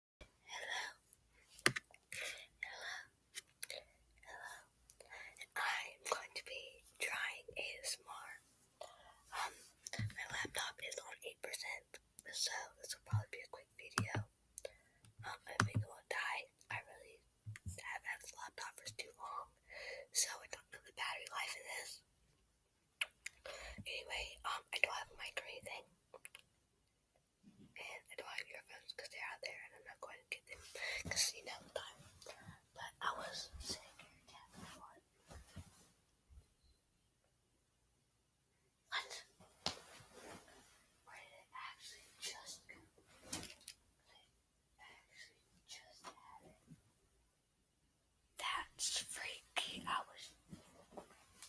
Hello. Hello. Hello. I'm going to be trying ASMR. Um, my laptop is on 8%, so this will probably be a quick video. Um, I think it die. I really have had this laptop for too long, so I don't know the battery life in this. Anyway, um, I don't have a mic or anything and admire your friends because they're out there, and I'm not going to get them because you know time. But I was sick and What? Where did it actually just go? I actually just had it. That's freaky. I was.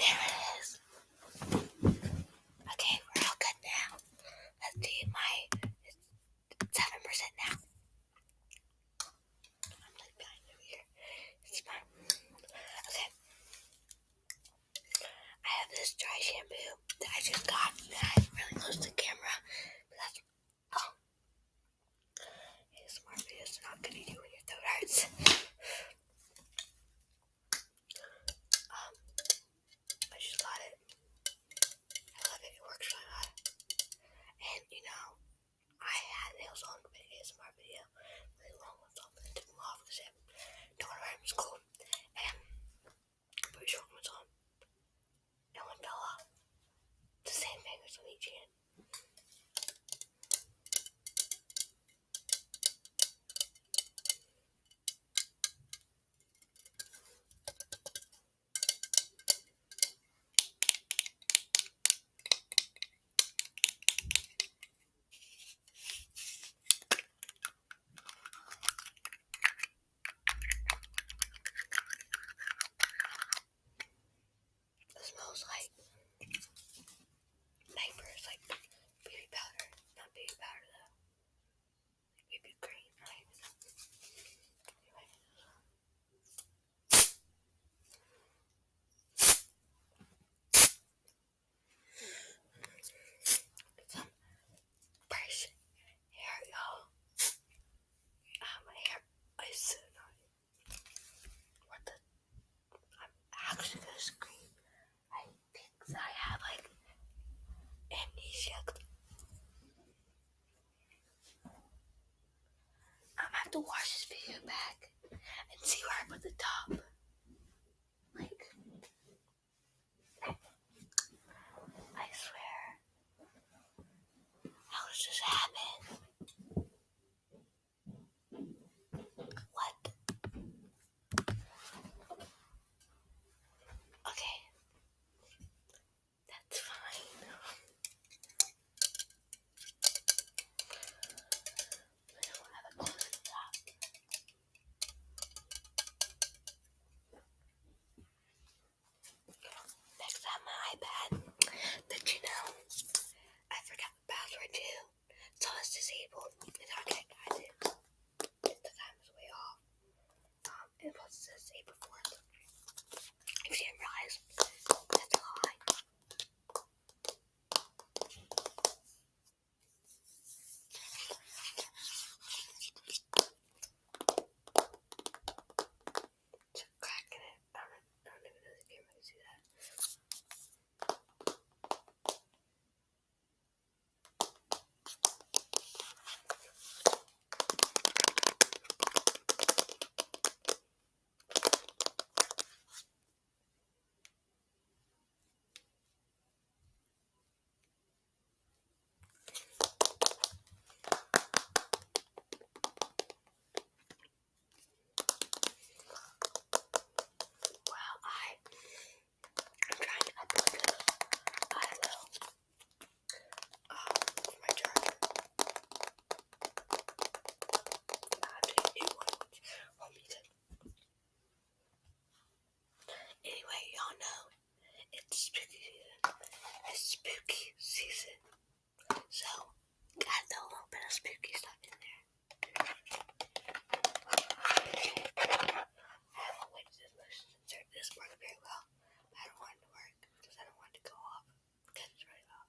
There it is. Okay, we're all good now. Let's do my seven percent now. I'm like behind over here. It's fine. Okay. I have this dry shampoo that I just got that I'm really close to the camera. But that's oh ASMR not gonna do when your throat hurts. Um I just got it. I love it, it works really hard. And you know, I had nails on an ASMR video, really long ones on, but I don't want to wear them to school. And put chocolates on, and one dollar. The same fingers on each hand. It smells like diapers, like baby powder. Not baby powder though. baby cream, some brush hair, y'all. Um, my hair is annoying. What the? I'm actually gonna scream. I think I have like amnesia. I'm gonna have to watch this video back and see where I put the top. Like, I swear. How does this happen? What? Okay. That's fine. I don't have a close up. Next on my iPad, did you know I forgot the password too? So disabled. It's okay, the time is way off. Um, it was this April 4th. you didn't realize, that's a lie. It's cracking it. I don't, even know if the camera can that. Well, I am trying to upload I don't um, my charger. I have to get new one, which won't be Anyway, y'all know it's spooky season. So, got throw a little bit of spooky stuff in there. I haven't waited to insert this work very well. I don't want it to work because I don't want it to go off because it's really loud.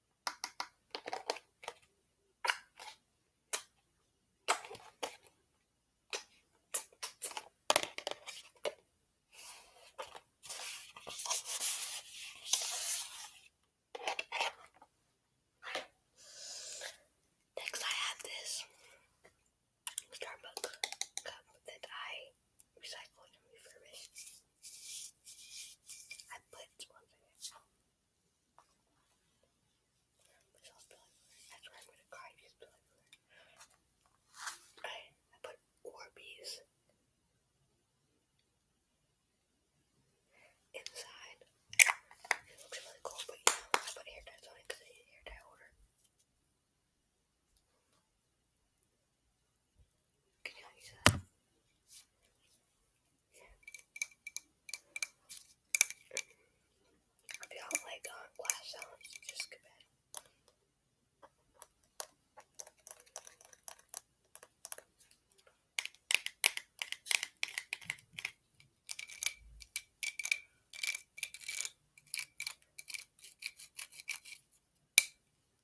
Next, I have this Starbucks cup that I recycled and refurbished. I put That's where I'm gonna cry just like I, I put Orbeez inside. It looks really cool, but you know, I put hair ties on it because I need hair tie order. Can you If you do like uh, glass sounds, just skip it.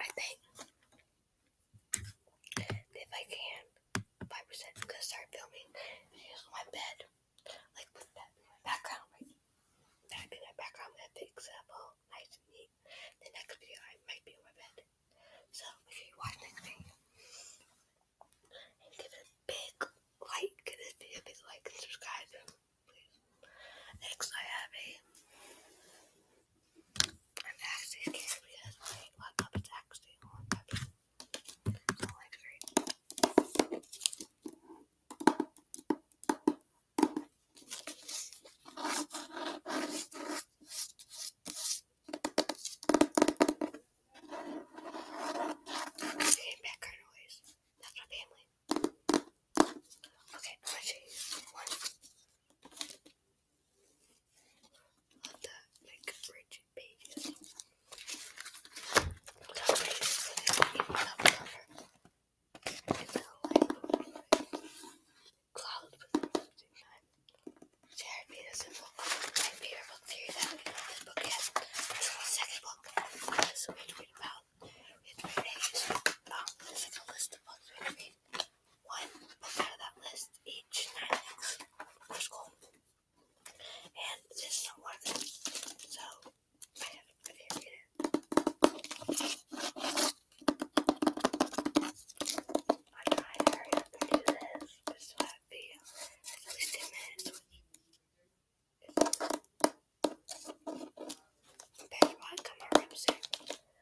I think if I can, five percent because I started filming. Here's my bed, like with that background right back in my background. Oh, I fix it nice and neat. The next video I might be on my bed, so make sure you watch next video and give a big like. Give this a big like and subscribe, please. Next, I have a. I'm actually scared because my laptop is actually on so background noise. That's my family. Okay, you one on the like rigid pages. That way so they do It's a like cloud with something time. Jared made us a book. My favorite that this book yet. This is the second book. So we read about it right now. Um, it's like a list of books we read one book out that list each, nine bucks school. And this is not one so I have it right it. I tried to hurry up do this, so I have at least 10 minutes, which is. That's why I come around soon.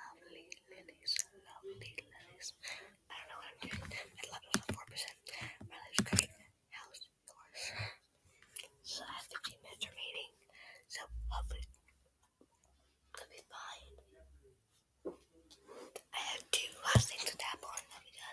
Lovely lilies, lovely lilies. I don't know what I'm doing. I love those on 4%. My life's great. How's yours? So I have 15 minutes remaining. So hopefully it'll be fine. I have two last things to tap on and I'll be done.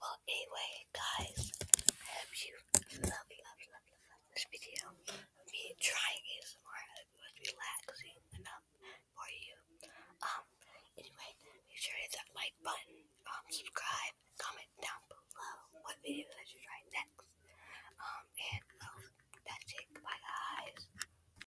Well, anyway, guys, I hope you love, love, love, love this video. Me trying ASMR, I hope it was relaxing enough for you. Um, anyway, make sure to hit that like button, um, subscribe, comment down below what video I should try next. Um, and oh, that's it. Bye, guys.